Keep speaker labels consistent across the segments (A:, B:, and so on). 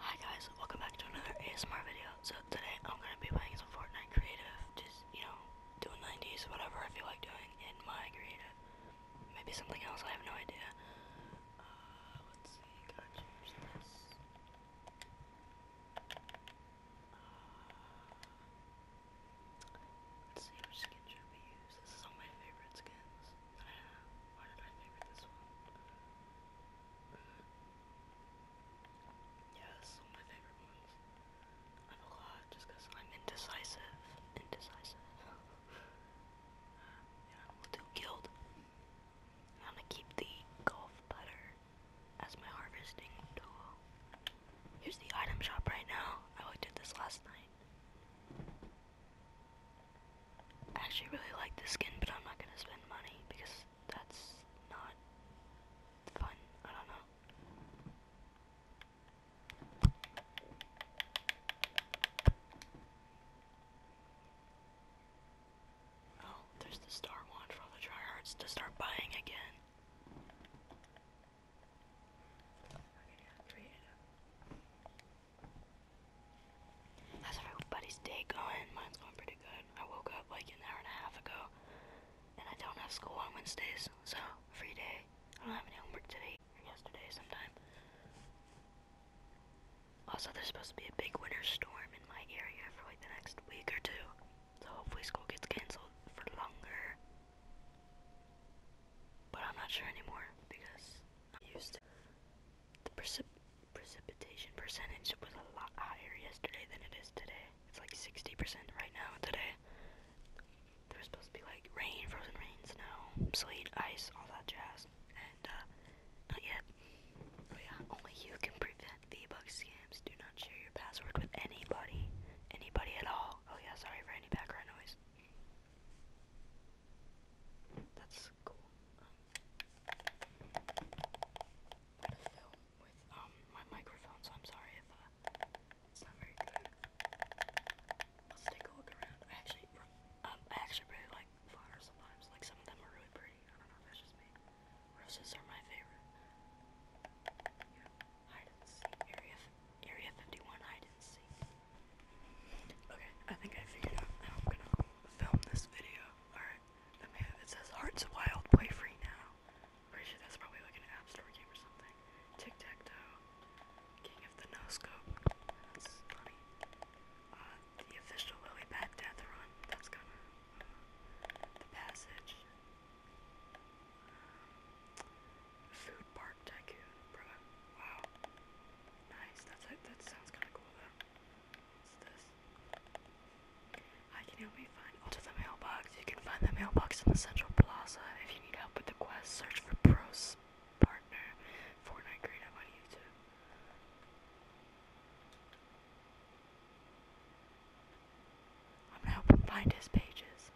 A: Hi guys, welcome back to another ASMR video. So today I'm gonna be playing some Fortnite creative, just you know, doing 90s, whatever I feel like doing in my creative. Maybe something else, I have no idea. Uh, let's see, this. Uh, let's see which skin should we use. This is all my favorite skins. Why did I favorite this one? Yeah, my favorite ones. I have a lot just because I'm indecisive. Indecisive. Uh, yeah, we'll do guild. I'm gonna keep the golf putter as my harvesting tool. Here's the item shop right now. I looked at this last night. I actually really like the skin, but I'm not gonna spend money because that's not fun. I don't know. Oh, there's the star one for all the tryhards to start buying again. Okay, three, How's everybody's day going? Mine's going pretty good. I woke up like an hour and a half ago, and I don't have school on Wednesdays, so free day. I don't have any homework today or yesterday sometime. Also, there's supposed to be a big winter storm in my area for like the next week or two, so hopefully school gets canceled for longer. But I'm not sure anymore because I'm used to. The precip precipitation percentage was a lot higher yesterday than it is today. It's like 60% right now today. There's supposed to be like rain, frozen rain, snow, sleet, ice, all that jazz. And uh, not yet. Oh yeah, only you can prevent V-Bug scams. Do not share your password with anybody. Anybody at all. Oh yeah, sorry for any background noise. That's cool. Um, with um my microphone, so I'm sorry if uh, it's not very good. Let's take a look around. actually, um, I actually really like flowers sometimes. Like some of them are really pretty. I don't know if that's just me. Roses are my favorite. Okay, I think I figured out I'm gonna film this video. All right. It says Hearts Wild, play free now. Pretty that's probably like an App Store game or something. Tic Tac Toe, King of the No That's funny. Uh, the official Lily Pad Death Run. That's kind of uh, passage. Um, food Park Tycoon, bro. Wow. Nice. That's That sounds kind of cool I can help you find oh, Alter the mailbox. You can find the mailbox in the Central Plaza. If you need help with the quest, search for Pros Partner Fortnite Great on YouTube. I'm gonna help him find his pages.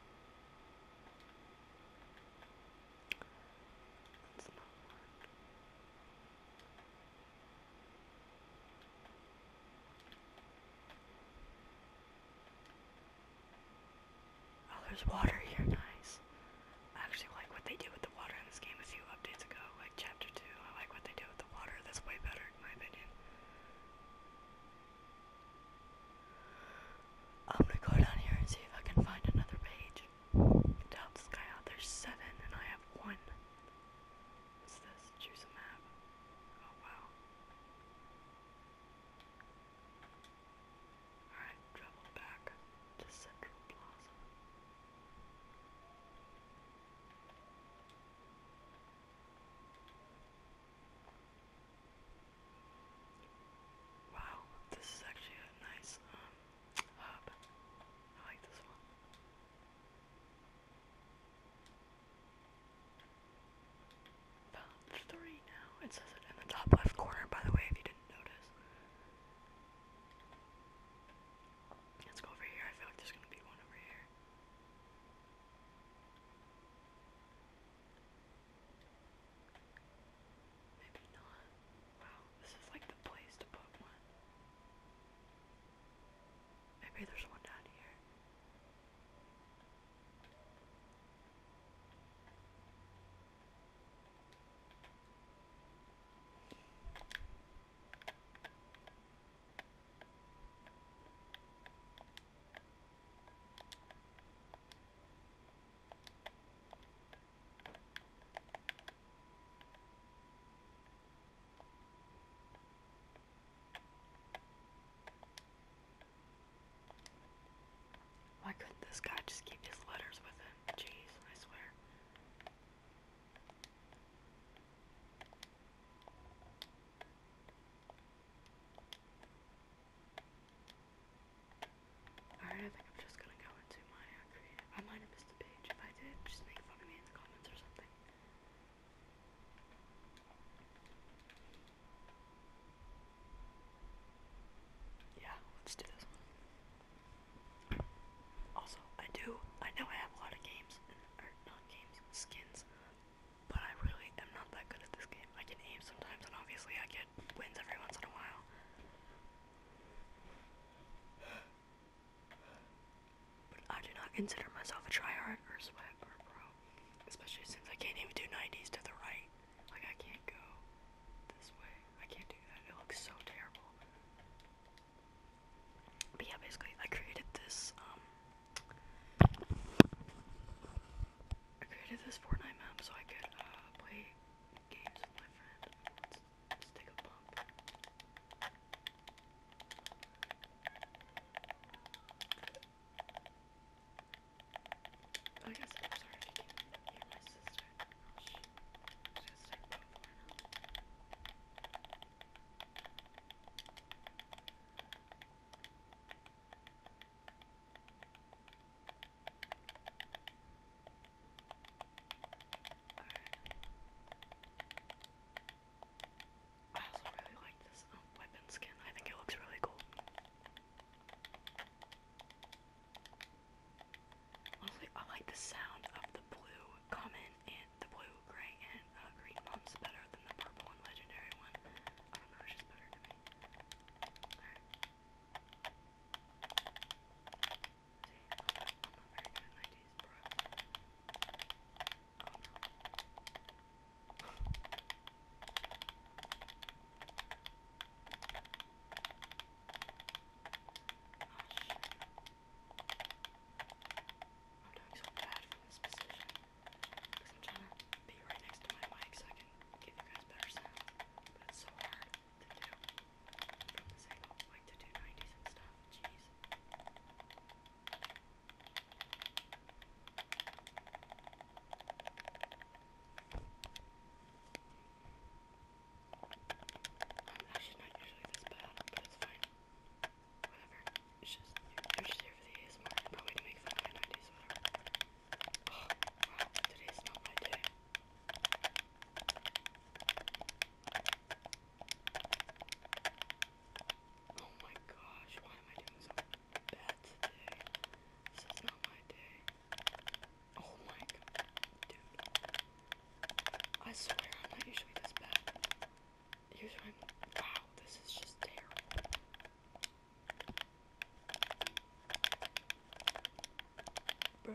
A: Oh, there's water here, nice. I actually like what they do with the water in this game a few updates ago, like chapter 2. I like what they do with the water, that's way better in my opinion. I'm gonna go down here and see if I can find another page. Doubt this guy out. Oh, there's seven, and I have one. What's this? Choose a map. Oh wow. Alright, travel back to Central Plaza. Wow, this is actually a nice um hub. I like this one. Balance three now. It says it in the top left corner, by the way, if you didn't notice. Let's go over here. I feel like there's gonna be one over here. Maybe not. Wow, this is like the place to put one. Maybe there's one down here. Why couldn't this guy just keep his letters with him? Jeez, I swear. Alright, I think I'm just gonna go into I might have missed a page. If I did, just make fun of me in the comments or something. Yeah, let's do this one. Also, I do, I know I have a lot of games, or not games, skins, but I really am not that good at this game. I can aim sometimes, and obviously I get wins every once in a while. But I do not consider myself a tryhard or sweat or pro. Especially since I can't even do 90s to the right. Like, I can't go this way. I can't do that. It looks so terrible. But yeah, basically, I created this, um... I created this Fortnite map so I could, uh, play games with my friend. Let's take a bump. I guess I'm sorry if you can hear my sister. Oh, she, she's like before now. Alright. I also really like this um, weapon skin. I think it looks really cool. Honestly, I like the sound of the blue common and the blue, gray, and uh, green ones better than the purple and legendary one. I don't know, it's just better to me doing so bad from this position. Because I'm trying to be right next to my mic so I can give you guys better sound. But it's so hard to do from this angle, like to do 90s and stuff jeez. I'm not usually this bad, but it's fine. Whatever. It's just, I'm just here for the ASMR, probably to make fun of my 90s, whatever. Oh, today's not my day. Oh my gosh, why am I doing so bad today? This is not my day. Oh my god, dude. I swear I'm not usually this bad. Usually wow, this is just terrible. Bro,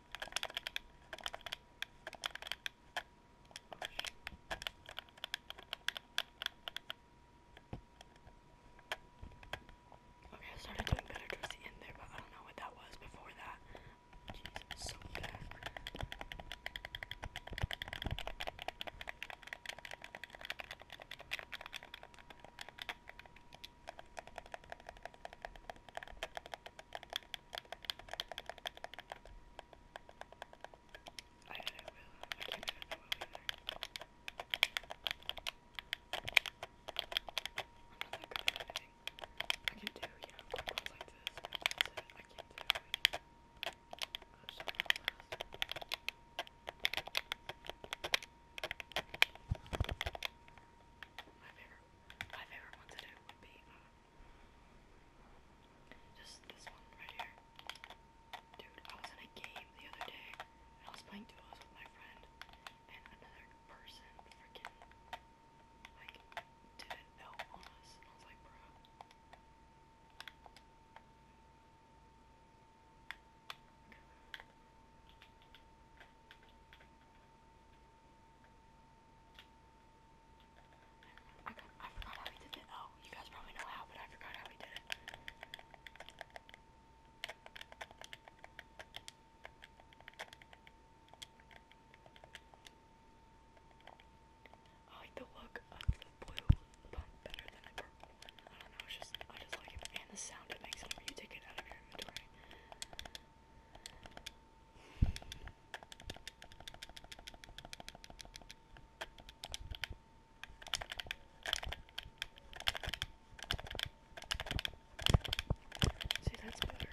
A: Okay, I started doing better towards the end there, but I don't know what that was before that. Jeez, I'm so bad. Okay, I don't know, I can't remember Willow I'm not that anything. I can do, you know, quick like this, I can't do anything. My favorite, my favorite one to do would be, just this one right here. Dude, I was in a game the other day, and I was playing duos with my friend, and another person freaking like did an L on us, and I was like, bro. Okay. I, forgot how we did it. Oh, you guys probably know how, but I forgot how we did it. like the look of the blue pump better than the I don't know, just I just like it and the sound it makes whenever you take it out of your inventory. See, that's better.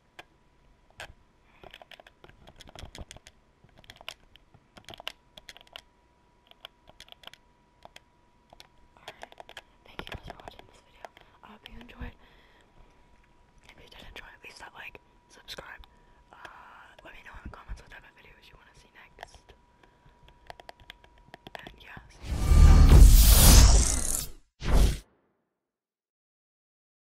A: Thank you guys for watching this video. I hope you enjoyed. If you did enjoy, please that like, subscribe. Uh, let me know in the comments what type of videos you want to see next. And yeah.